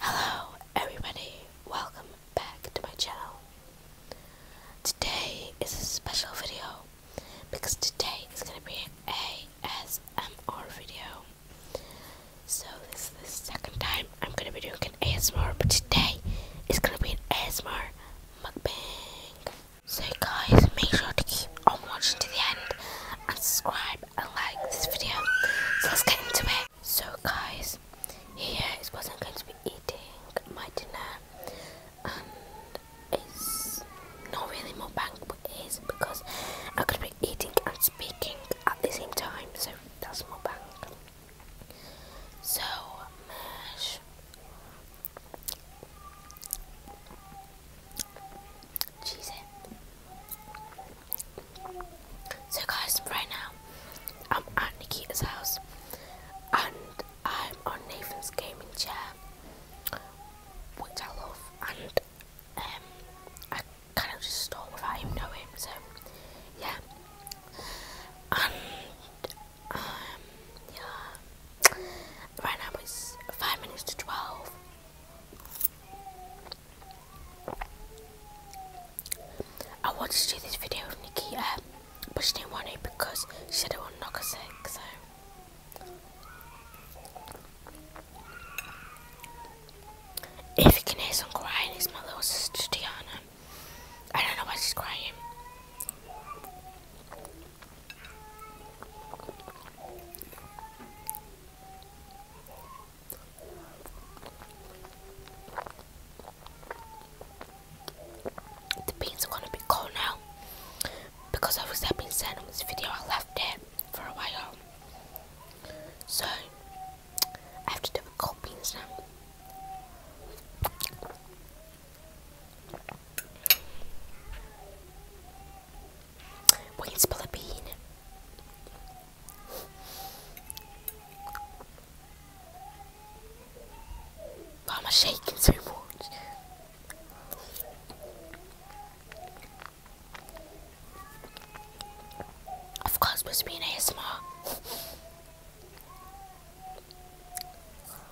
Hello everybody, welcome back to my channel. Today is a special video because today is gonna be an ASMR video. So this is the second time I'm gonna be doing an ASMR, but today it's gonna be an ASMR mukbang. So guys, make sure to keep on watching to the end and subscribe and like this video. So let's get into it. So guys, yeah, what I'm going to be eating my dinner and it's not really mukbang but it is because I could be eating and speaking at the same time so that's bank. So mash cheese So guys, right now I'm at Nikita's house and I'm on Nathan's gaming chair, which I love, and um, I kind of just start without him knowing. So yeah, um, yeah, right now it's five minutes to twelve. I wanted to do this video with Nikita, but she didn't want it because she said it would knock her sick, so. If you can hear some crying, it's my little sister Diana. I don't know why she's crying. The beans are gonna be cold now because I was having sand on this video. I left it for a while, so I have to do with cold beans now. We can spill a bean. Why am I shaking so much? I forgot it's supposed be an ASMR.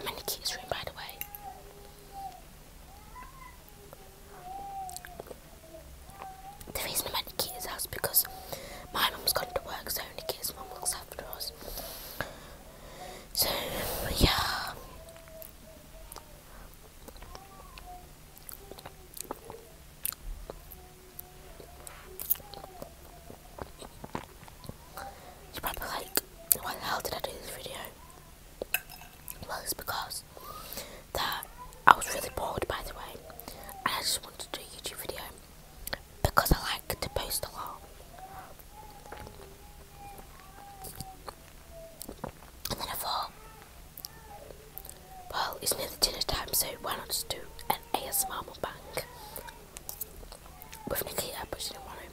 I'm in the kids' room, by the way. The reason I'm at Nikita's house because my mum's gone to work, so Nikita's mom looks after us. So, yeah. you probably like, why the hell did I do this video? Well, it's because that I was really bored, by the way, and I just wanted to do a YouTube video because I like to post a lot. And then I thought, well, it's near the dinner time, so why not just do an ASMR mukbang with Nikita, pushing in my room?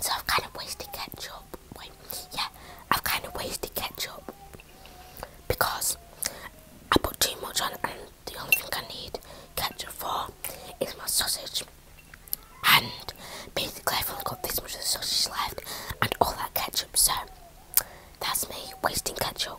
So I've kind of wasted ketchup. Wait, yeah, I've kind of wasted ketchup because I put too much on and the only thing I need ketchup for is my sausage. And basically, I've only got this much of the sausage left and all that ketchup, so that's me wasting ketchup.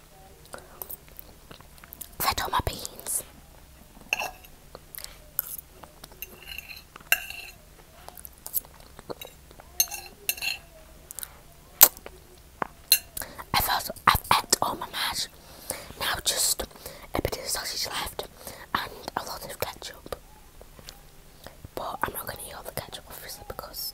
Settle my beans. I've also I've ate all my mash. Now just a bit of sausage left and a lot of ketchup. But I'm not gonna eat all the ketchup obviously because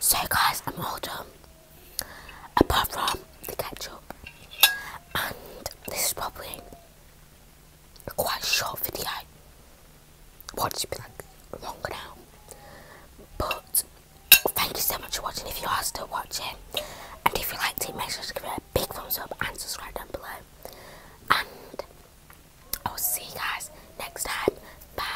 So guys, I'm all done. Apart from the ketchup and this is probably a quite short video. Watch it be like longer now. But thank you so much for watching if you are still watching. And if you liked it, make sure to give it a big thumbs up and subscribe down below. And I will see you guys next time. Bye.